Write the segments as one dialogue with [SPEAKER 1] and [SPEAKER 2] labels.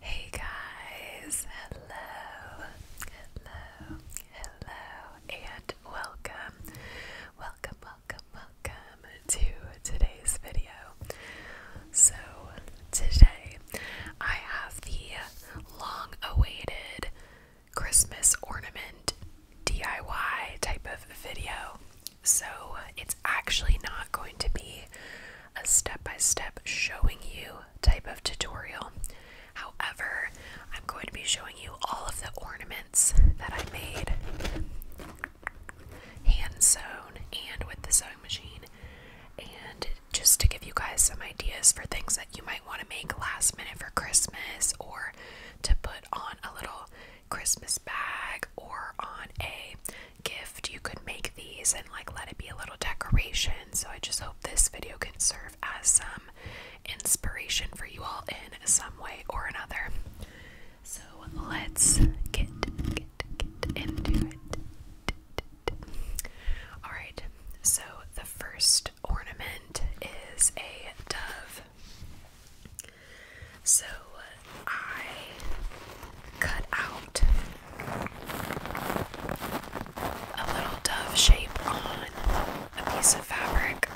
[SPEAKER 1] Hey guys, hello, hello, hello, and welcome, welcome, welcome, welcome to today's video. So, today I have the long awaited Christmas ornament DIY type of video. So, it's actually not going to be a step-by-step showing you type of tutorial. However, I'm going to be showing you all of the ornaments that I made hand sewn and with the sewing machine and just to give you guys some ideas for things that you might want to make last minute for Christmas or to put on a little Christmas bag or on a gift. You could make these and like let it be a little decoration. So I just hope this video can serve as some inspiration for you all in some way or another. So let's get get get into it. All right. So the first ornament is a dove. So I cut out a little dove shape on a piece of fabric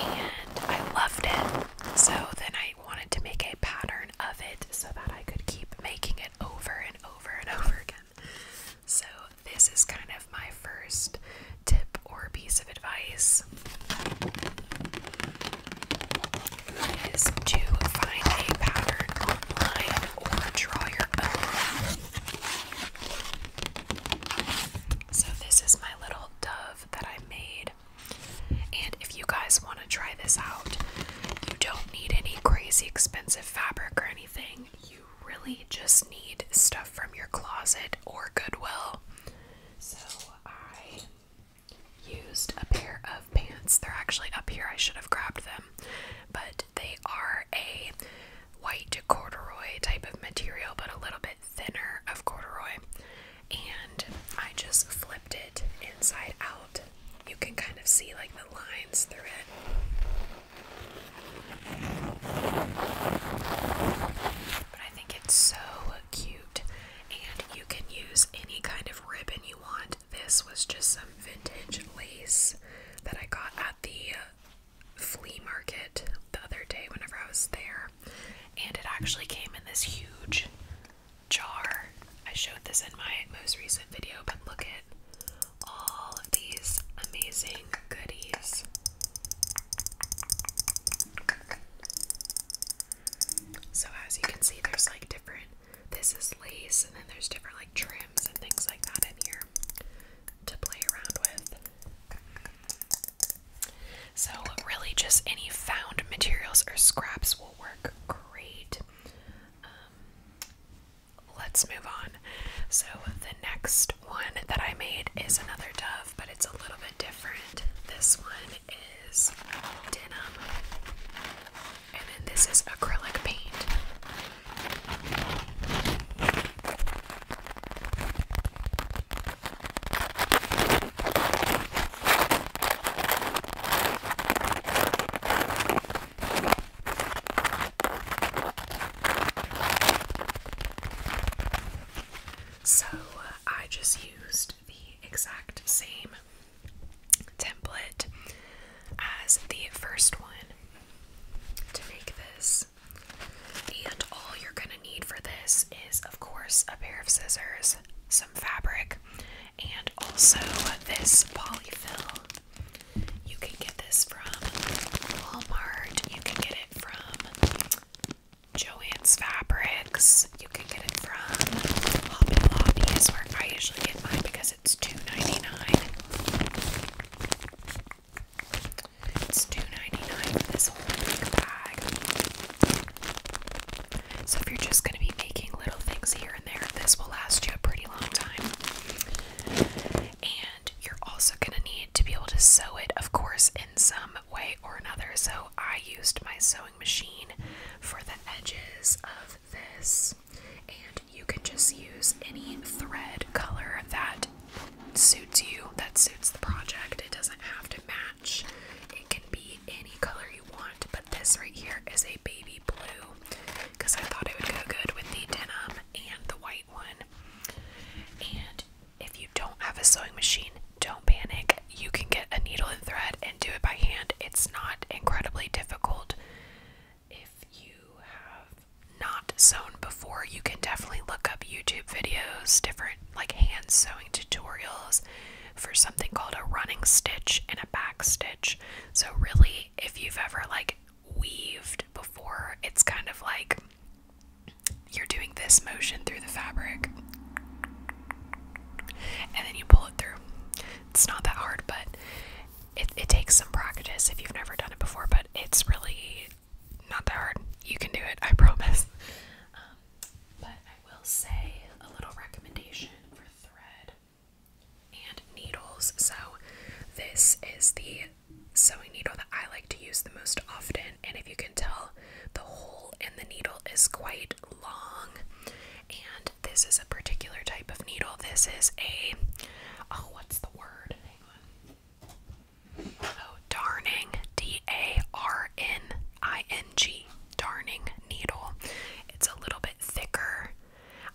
[SPEAKER 1] and I loved it. So then I wanted to make a pattern of it so that I could keep making it over and over and over again. So this is kind of my first tip or piece of advice is to find a pattern online or draw your own. So, this is my little dove that I made. And if you guys want to try this out, you don't need any crazy expensive fabric or anything. You really just need stuff from your closet or Goodwill. So, I used a pair of pants. They're actually up here. I should have grabbed them. But they are a white corduroy type of material, but a little bit thinner of corduroy. And I just flipped it inside out. You can kind of see like the lines through it. But I think it's so cute, and you can use any kind of ribbon you want this was just some vintage lace that I got at the flea market the other day whenever I was there. And it actually came in this huge jar. I showed this in my most recent video, but look at all of these amazing goodies. So, as you can see, there's like different this is lace, and then there's different like trims and things like that in here to play around with. So, really, just any found materials or scraps will work great. Um, let's move on. So, the next one that I made is another dove, but it's a little bit different. This one is denim. And then this is acrylic paint. So uh, I just used the exact same template as the first one to make this. And all you're going to need for this is, of course, a pair of scissors, some fabric, and also this polyfill. You can get this from Walmart, you can get it from Joann's Fabrics, you can get it from Hobby Lobby, is where I usually get mine because it's two ninety nine. It's 2 for this whole bag. So if you're just going to be making little things here and there, this will last you a pretty long time. And you're also going to need to be able to sew it, of course, in some way or another. So I used my sewing machine for the edges of this and you can just use any thread color that suits you, that suits the project. It doesn't have to match, it can be any color you want. But this right here is a baby blue because I thought it would go good with the denim and the white one. And if you don't have a sewing machine, don't panic. You can get a needle and thread and do it by hand. It's not incredibly difficult if you have not sewn before, you can definitely look up YouTube videos, different like hand sewing tutorials for something called a running stitch and a back stitch. So really, if you've ever like weaved before, it's kind of like you're doing this motion through the fabric and then you pull it through. It's not that hard, but it, takes some practice if you've never done it before, but it's really not that hard. You can do it, I promise. Um, but I will say a little recommendation for thread and needles. So, this is the sewing needle that I like to use the most often, and if you can tell, the hole in the needle is quite long, this is a particular type of needle. This is a oh, what's the word? Oh, darning, D A R N I N G, darning needle. It's a little bit thicker.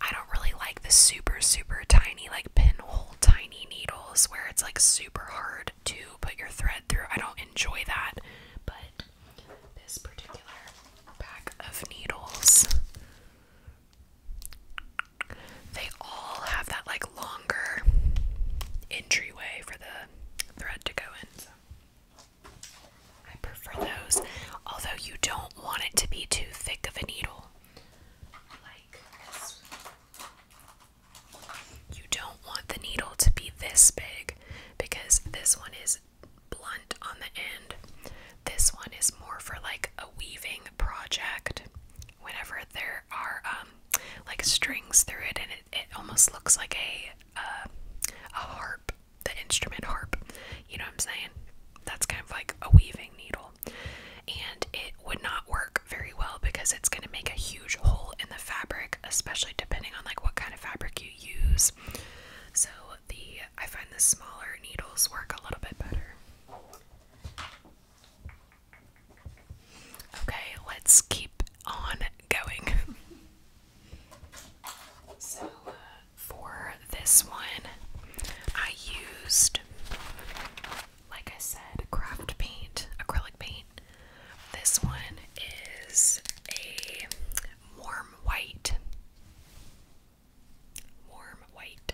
[SPEAKER 1] I don't really like the super, super tiny, like pinhole tiny needles where it's like super hard to put your thread through. I don't enjoy that, but this particular pack of needles they all have that like longer entryway for the thread to go in. I prefer those, although you don't want it to be too thick of a needle. You don't want the needle to be this big because this one is blunt on the end. This one is more for like a weaving project whenever there are um, like strings through it and it, it almost looks like a uh, a harp the instrument harp you know what i'm saying that's kind of like a weaving needle and it would not work very well because it's going to make a huge hole in the fabric especially depending on like what kind of fabric you use so the I find the smaller needles work a little bit better. Okay, let's keep on going. so, uh, for this one, I used, like I said, craft paint, acrylic paint. This one is a warm white warm white.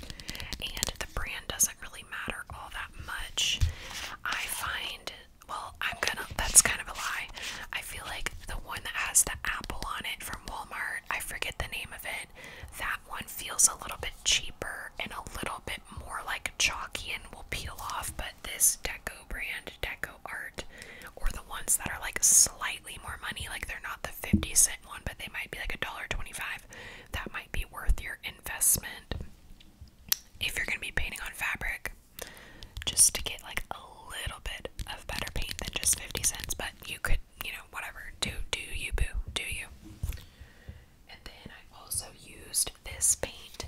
[SPEAKER 1] And the brand doesn't really matter all that much. I find, well, I'm gonna, that's kind of a lie. I feel like the one that has the apple on it from Walmart, I forget the name of it, that one feels a little bit cheaper and a little bit more like chalky and will peel off. But this Deco brand, Deco Art, or the ones that are like slightly more money, like they're not the. 50 cent one, but they might be like a dollar 25. That might be worth your investment if you're going to be painting on fabric just to get like a little bit of better paint than just 50 cents, but you could, you know, whatever. Do do you boo, do you? And then I also used this paint.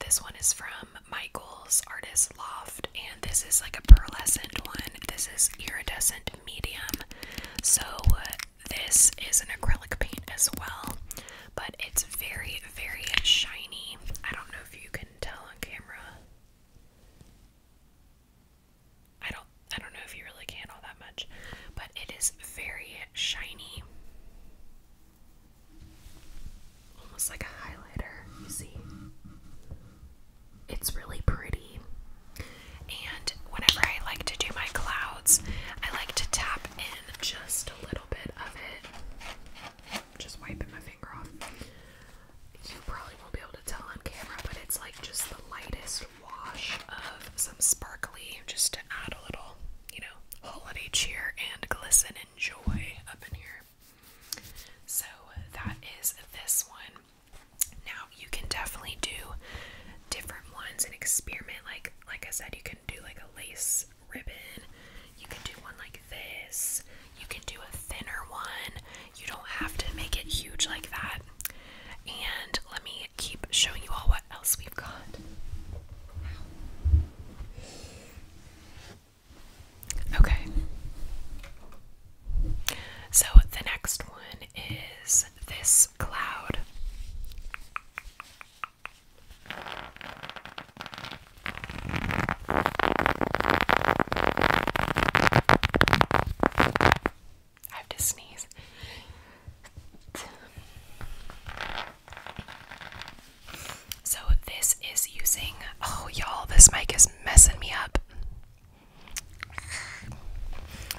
[SPEAKER 1] This one is from Michael's Artist Loft, and this is like a pearlescent one. This is iridescent medium. So this is an acrylic paint as well, but it's very, very shiny. I don't know if you can tell on camera. I don't I don't know if you really can all that much, but it is very shiny. Almost like a highlighter, you see it's really pretty. And whenever I like to do my clouds, I like to tap in just a little bit of it. Just wiping my finger off. You probably won't be able to tell on camera, but it's like just the lightest wash of some sparkly just to add a little, you know, holiday cheer and glisten and joy up in here. So that is this one. Now you can definitely do different ones and experiment. Like like I said, you can do like a lace ribbon. You can do one like this. You can do a thinner one. You don't have to make it huge like that. And let me keep showing you all what else we've got. Okay. So the next one is this cloud? I have to sneeze. So, this is using. Oh, y'all, this mic is messing me up.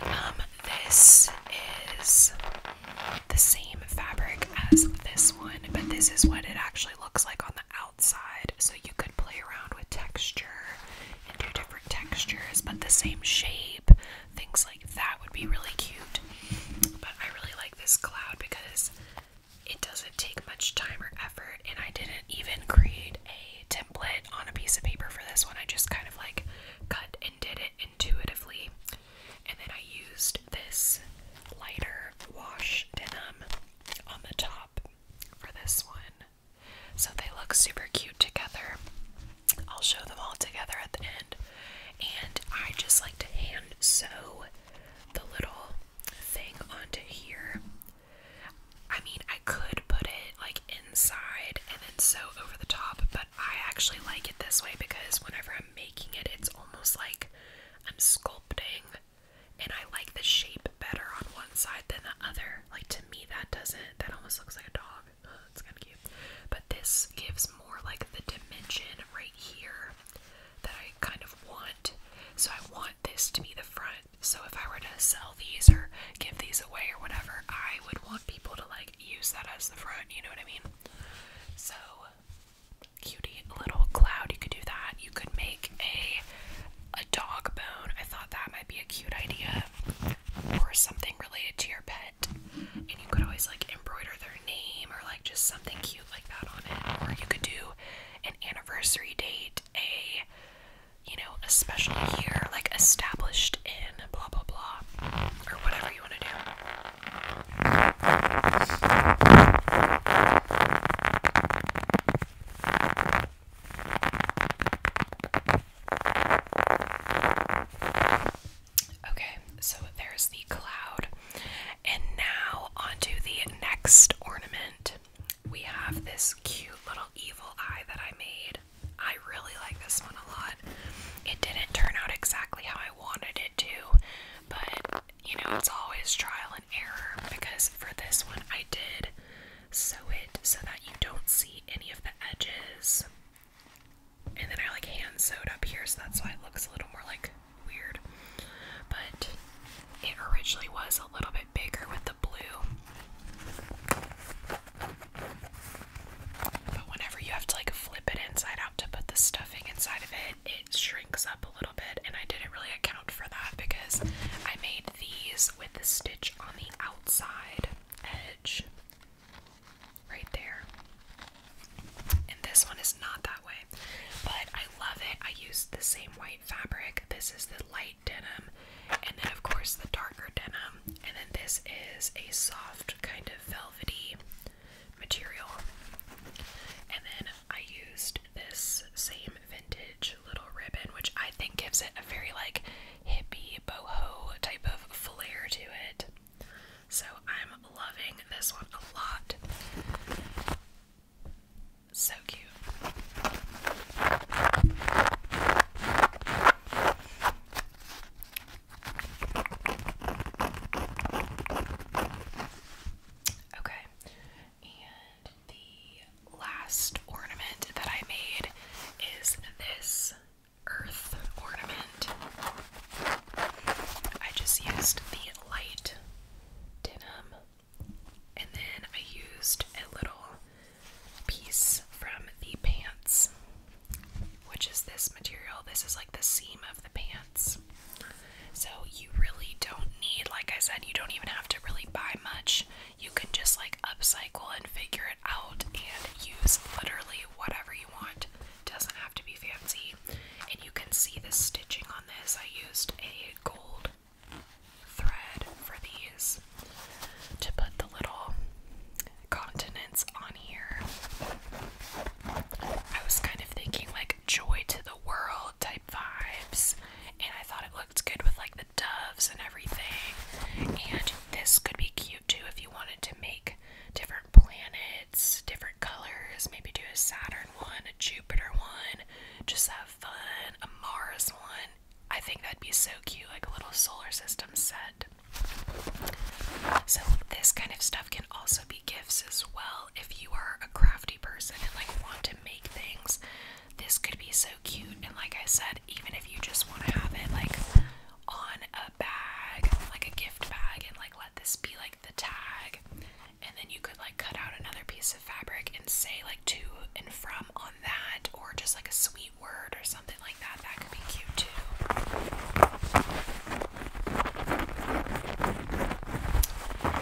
[SPEAKER 1] Um, this is the same fabric as this one, but this is what it actually looks like on the outside. So you could play around with texture and do different textures, but the same shape, things like that would be really cute. But I really like this cloud because it doesn't take much time or effort, and I didn't even create a template on a piece of paper for this one. I just kind of like cut and did it intuitively. And then I used this lighter wash denim on the top for this one. So they look super cute together. I'll show them all together at the end. And I just like to hand sew the little thing onto here. I mean, I could put it like inside and then sew over the top, but I actually like it this way because whenever I'm making it, it's almost like I'm sculpting and I like the shape better on one side than the other. Like to me, that doesn't, that almost looks like a dog. Oh, it's kind of cute. But this gives more like the dimension right here that I kind of want. So I want this to be the front. So if I were to sell these or give these away or whatever, I would want people to like use that as the front, you know what I mean? So, cutie little cloud, you could do that. You could make a a dog bone. I thought that might be a cute idea or something related to your pet. And you could always like embroider their name or like just something cute like that on it. Or you could do an anniversary date, a you know, a special year, like established in blah blah blah, or whatever you want to do. Okay, so there's the cloud, and now onto the next ornament. We have this cute little evil eye that I made. I really like this one a lot. It didn't turn out exactly how I wanted it to, but you know, it's always trial and error because for this one I did sew it so that you don't see any of the edges. And then I like hand sewed up here, so that's why it looks a little more like weird. But it originally was a little bit bigger with the blue. But whenever you have to like flip it inside out to put the stuffing inside of it, it shrinks up a little bit. And I didn't really account for that because I made these with the stitch on the outside edge right there. And this one is not that way. But I love it. I used the same white fabric. This is the light denim and then of course the darker denim, and then this is a soft kind of velvety material. And then I used this same vintage little ribbon, which I think gives it a very like hippie boho type of flair to it. So I'm loving this one a lot. So cute. Okay, and the last ornament that I made is this earth ornament. I just used the light denim and then I used a little piece from the pants, which is this material. This is like the seam of the pants. So you really don't need, like I said, you don't even have to really buy much. You can just like upcycle and figure it out and use literally whatever you want. Doesn't have to be fancy. And you can see the stitching on this. I used a gold thread for these to put the little continents on here. I was kind of thinking like joy to the world type vibes, and I thought it looked good with like the doves and everything. And this could be cute too if you wanted to make different planets, different colors, maybe do a Saturn one, a Jupiter one, just have fun, a Mars one. I think that'd be so cute, like a little solar system set. So, this kind of stuff can also be gifts as well. If you are a crafty person and like want to make things, this could be so cute. And, like I said, even if you just want to have it like on a bag, like a gift bag, and like let this be like the tag, and then you could like cut out another piece of fabric and say like to and from on that, or just like a sweet word or something like that. That could be cute too.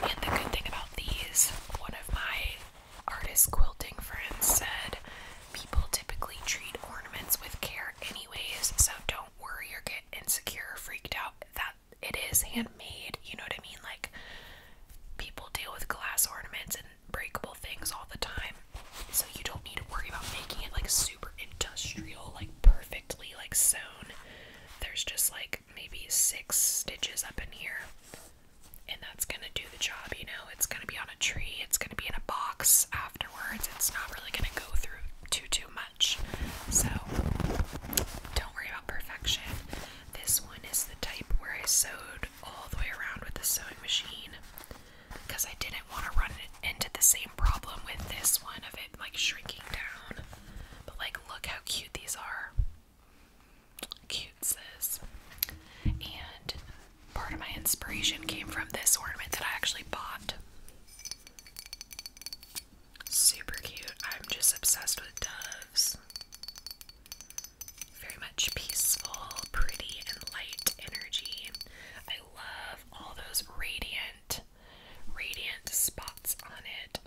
[SPEAKER 1] And the good thing about these, one of my artist quilting friends said people typically treat ornaments with care anyways, so don't worry or get insecure freaked out that it is handmade, you know what I mean? Like people deal with glass ornaments and breakable things all the time so you don't need to worry about making it like super industrial, like perfectly like sewn. There's just like maybe six stitches up in here, and that's gonna do the job, you know. It's gonna be on a tree, it's gonna be in a box afterwards, it's not really gonna go through too too much. So don't worry about perfection. This one is the type where I sewed all the way around with the sewing machine because I didn't want to run into the same problem with this one of it like shrinking down. But like, look how cute these are. Cute, And part of my inspiration came from this ornament that I actually bought. Super cute. I'm just obsessed with doves. Very much peaceful, pretty, and light energy love all those radiant, radiant spots on it.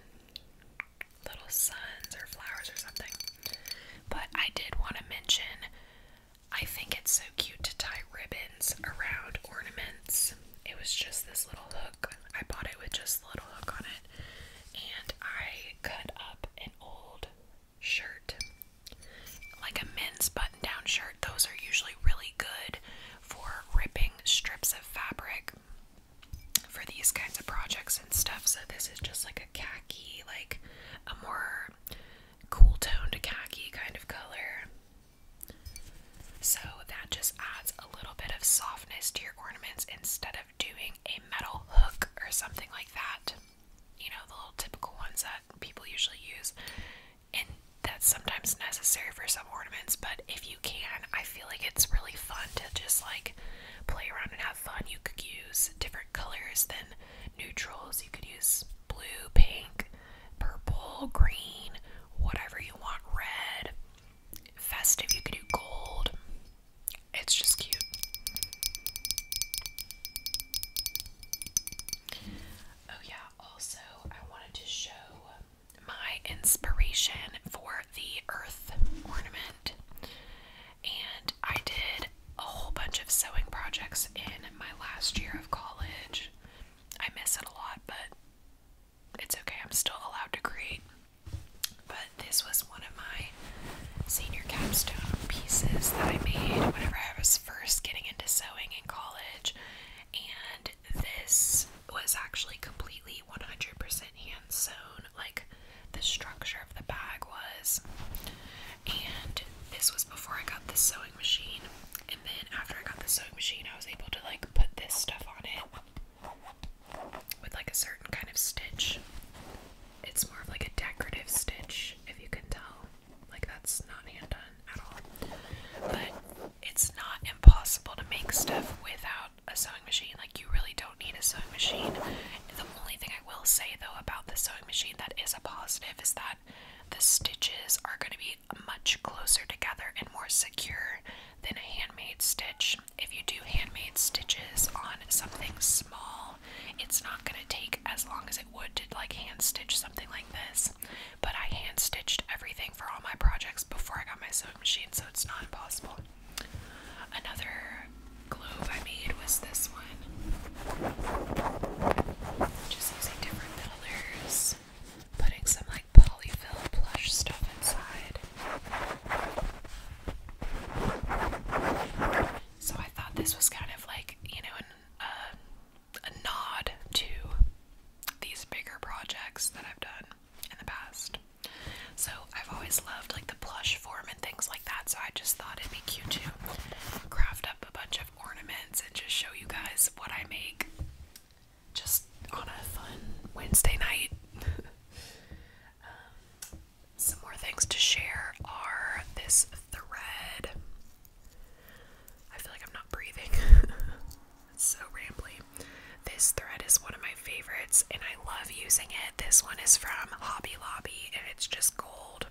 [SPEAKER 1] Little suns or flowers or something. But I did want to mention I think it's so cute to tie ribbons around ornaments. It was just this little hook. I bought it with just a little hook on it. And I cut up an old shirt like a men's button down shirt, those are usually really good for ripping strips of fabric for these kinds of projects and stuff. So, this is just like a khaki, like a more cool toned khaki kind of color. So, that just adds a little bit of softness to your ornaments instead of doing a metal hook or something like that. You know, the little typical ones that people usually use and that's sometimes necessary for some ornaments, but if you can, I feel like it's really fun to just like play around and have fun. You could use different colors than neutrals. You could use blue, pink, purple, green, whatever you want, red, festive, you could do gold. It's just cute. Oh, yeah, also I wanted to show my inspiration for the earth ornament. And I did a whole bunch of sewing projects in my last year of college. I miss it a lot, but it's okay, I'm still allowed to create. But this was one of my senior capstone pieces that I made whenever I was first getting into sewing in college, and this was actually completely 100% hand sewn, like the structure of the bag was. And this was before I got the sewing machine, and then after I got the sewing machine, I was able to like put this stuff on it with like a certain kind of stitch. It's more of like a decorative stitch, if you can tell. Like that's not hand done at all. But it's not impossible to make stuff without a sewing machine. Like you really don't need a sewing machine. The only thing I will say though about the sewing machine that is a positive is that the stitches are going to be much closer together and more secure than a handmade stitch. If you do handmade stitches on something small, it's not going to take as long as it would to like hand stitch something like this. But I hand stitched everything for all my projects before I got my sewing machine, so it's not impossible. Another globe I made was this one. Just using different builders, putting some like polyfill plush stuff inside. So I thought this was kind of like, you know, um, a nod to these bigger projects that I've done in the past. So I've always loved like the plush form and things like that, so I just thought it'd be cute to craft up a bunch of ornaments and just show you guys what I make just on a fun Wednesday night. Um, some more things to share are this thread I feel like I'm not breathing. it's so rambly. This thread is one of my favorites and I love using it. This one is from Hobby Lobby and it's just gold.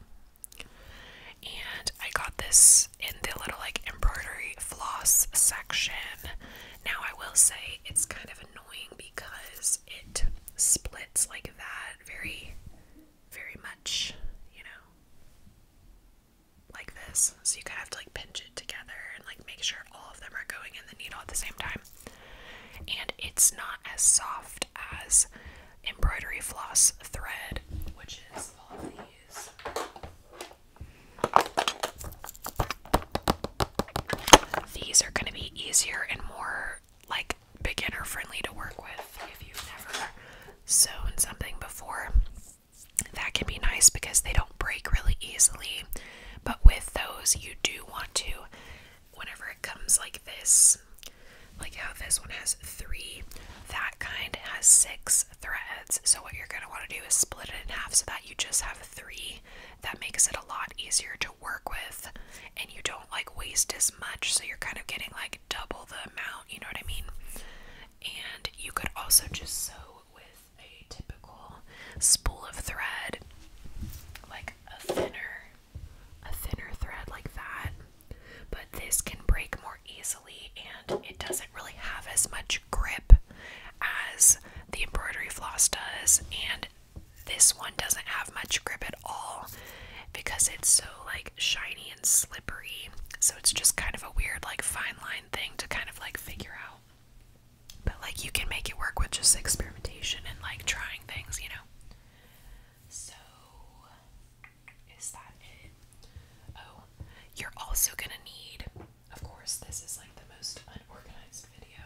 [SPEAKER 1] And I got this in the little like embroidery floss section. Now, I will say it's kind of annoying because it splits like that very, very much, you know like this. So you kind of have to like pinch it together and like make sure all of them are going in the needle at the same time. And it's not as soft as embroidery floss thread, which is all of these. These are going to be easier and more like beginner friendly to work with if you've never sewn something before that can be nice because they don't break really easily. But with those, you do want to, whenever it comes like this, like how this one has three, that kind has six threads. So, what you're going to want to do is split it in half so that you just have three. That makes it a lot easier to work with, and you don't like waste as much. So, you're kind of getting like double the amount, you know what I mean? and you could also just sew with a typical spool of thread, like a thinner, a thinner thread like that. But this can break more easily, and it doesn't really have as much grip as the embroidery floss does, and this one doesn't have much grip at all because it's so like shiny and slippery. So it's just kind of a weird like fine line thing to kind of like figure out. But like you can make it work with just experimentation and like trying things, you know. So is that it? Oh, you're also gonna need, of course, this is like the most unorganized video.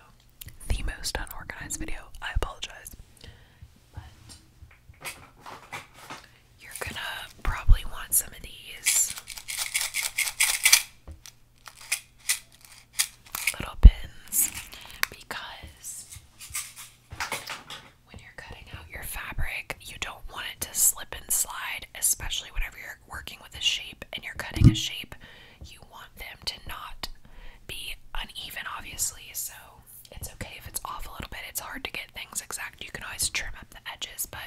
[SPEAKER 1] The most unorganized video. I apologize. You're gonna probably want some of these. Little pins because when you're cutting out your fabric, you don't want it to slip and slide, especially whenever you're working with a shape and you're cutting a shape. You want them to not be uneven, obviously. So it's okay if it's off a little bit, it's hard to get things exact. You can always trim it the edges, but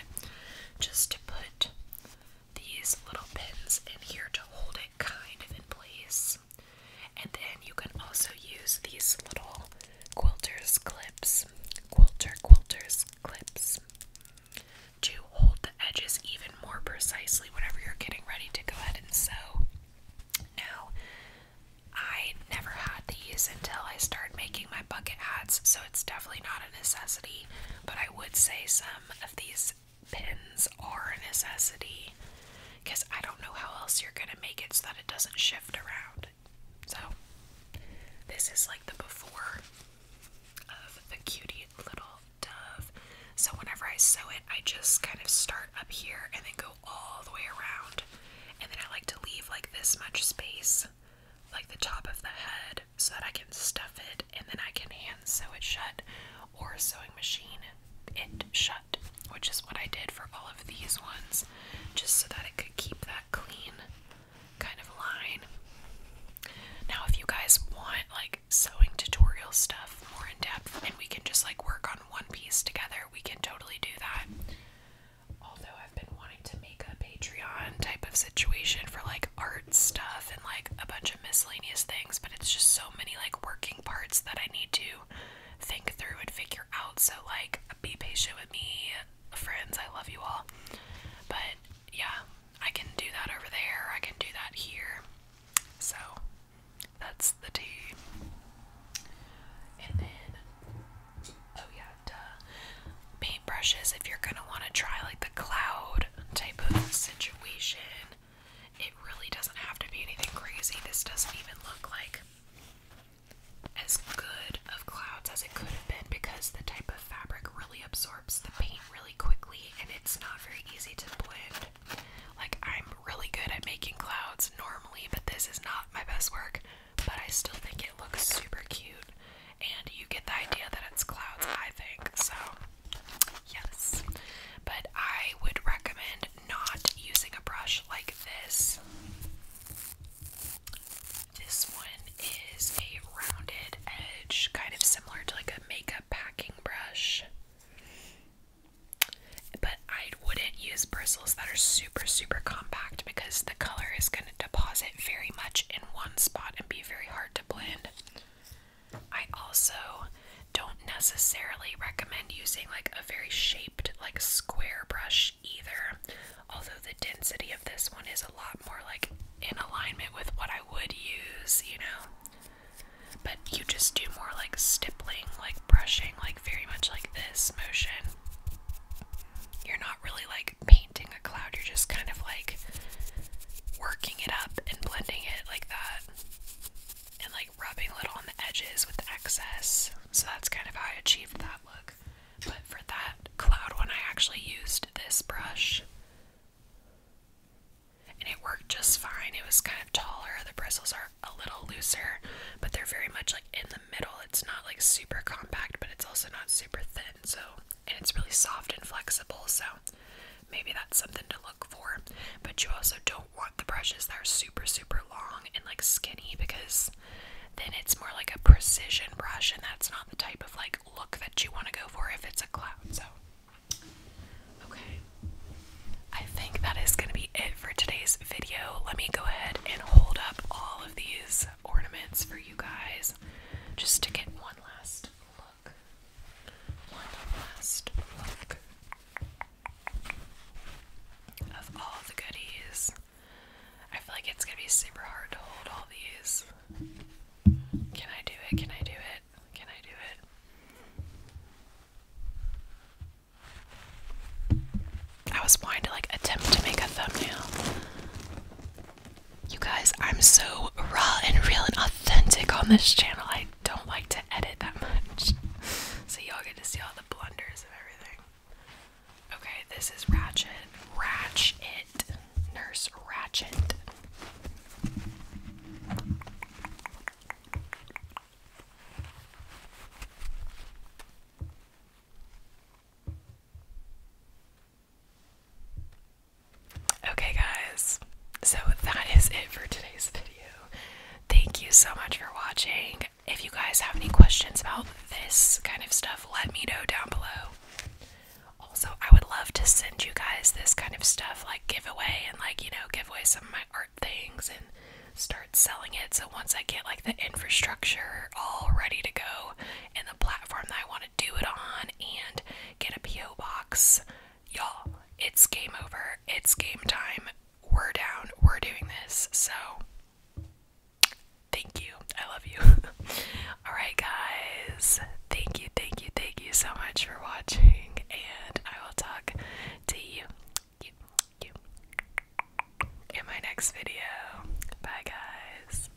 [SPEAKER 1] just to put these little pins in here to hold it kind of in place. And then you can also use these little quilters clips, quilter quilters clips, to hold the edges even more precisely whenever you're getting ready to go ahead and sew. Now, I never had these until I started making my bucket hats, so it's definitely not a necessity, but I would say some of these pins are a necessity because I don't know how else you're going to make it so that it doesn't shift around. So, this is like the before of the cutie little dove. So, whenever I sew it, I just kind of start up here and then go all the way around. And then I like to leave like this much space, like the top of the head, so that I can stuff it and then I can hand sew it shut or sewing machine it shut, which is what I did for all of these ones, just so that it could keep that clean kind of line. Now, if you guys want like sewing tutorial stuff more in depth and we can just like work on one piece together, we can totally do that although I've been wanting to make a Patreon type of situation for like art stuff and like a bunch of miscellaneous things, but it's just so many like working parts that I need to think through and figure out. So, like, be patient with me, friends. I love you all. But yeah, I can do that over there, I can do that here. So, that's the tea. And then Oh yeah, duh. Paintbrushes, if you're gonna wanna try like the cloud type of situation, it really doesn't have to be anything crazy. This doesn't even look like as good of clouds as it could have been because the type of fabric really absorbs the paint really quickly and it's not very easy to blend. Like, I'm really good at making clouds normally, but this is not my best work. But I still think it looks super cute and you get the idea that it's clouds, I think. So, yes. But I would recommend not using a brush like this. This one is a rounded edge, kind of similar to like a makeup packing brush. But I wouldn't use bristles that are super, super compact because the color is going to deposit very much in one spot and be very hard to blend. I also don't necessarily recommend using like a very shaped, like square brush either, although the density of this one is a lot more like in alignment with what I would use, you know. But you just do more like stippling, like brushing, like very much like this motion. You're not really like painting a cloud, you're just kind of like working it up and blending it like that and like rubbing a little on the edges with excess. So that's kind of how I achieved that look. But for that cloud one, I actually used this brush and it worked just fine. It was kind of taller, the bristles are a little looser, but they're very much like in the middle. It's not like super compact, but it's also not super thin, so and it's really soft and flexible, so maybe that's something to look for. But you also don't want the brushes that are super, super long and like skinny because then it's more like a precision brush, and that's not the type of like look that you want to go for if it's a cloud. So, okay, I think that is going to be it for today's video. Let me go ahead and hold up all of these ornaments for you guys just to get one last look. One last look of all the goodies. I feel like it's gonna be super hard to hold all these. Can I do it? Can I do it? Can I do it? I was wanting to like attempt to make a thumbnail you guys, I'm so raw and real and authentic on this channel. I don't like to edit that much. so y'all get to see all the blunders and everything. Okay, this is Ratchet. Ratchet. Nurse Ratchet. Okay, guys, so that is it for today's video. Thank you so much for watching. If you guys have any questions about this kind of stuff, let me know down below. Also, I would love to send you guys this kind of stuff, like giveaway and like, you know, give away some of my art things and start selling it. So once I get like the infrastructure all ready to go, and the platform that I want to do it on and get a P.O. box. Y'all, it's game over. It's game time. We're down. We're doing this. So, thank you. I love you. Alright, guys. Thank you, thank you, thank you so much for watching. And I will talk to you, in my next video. Bye, guys.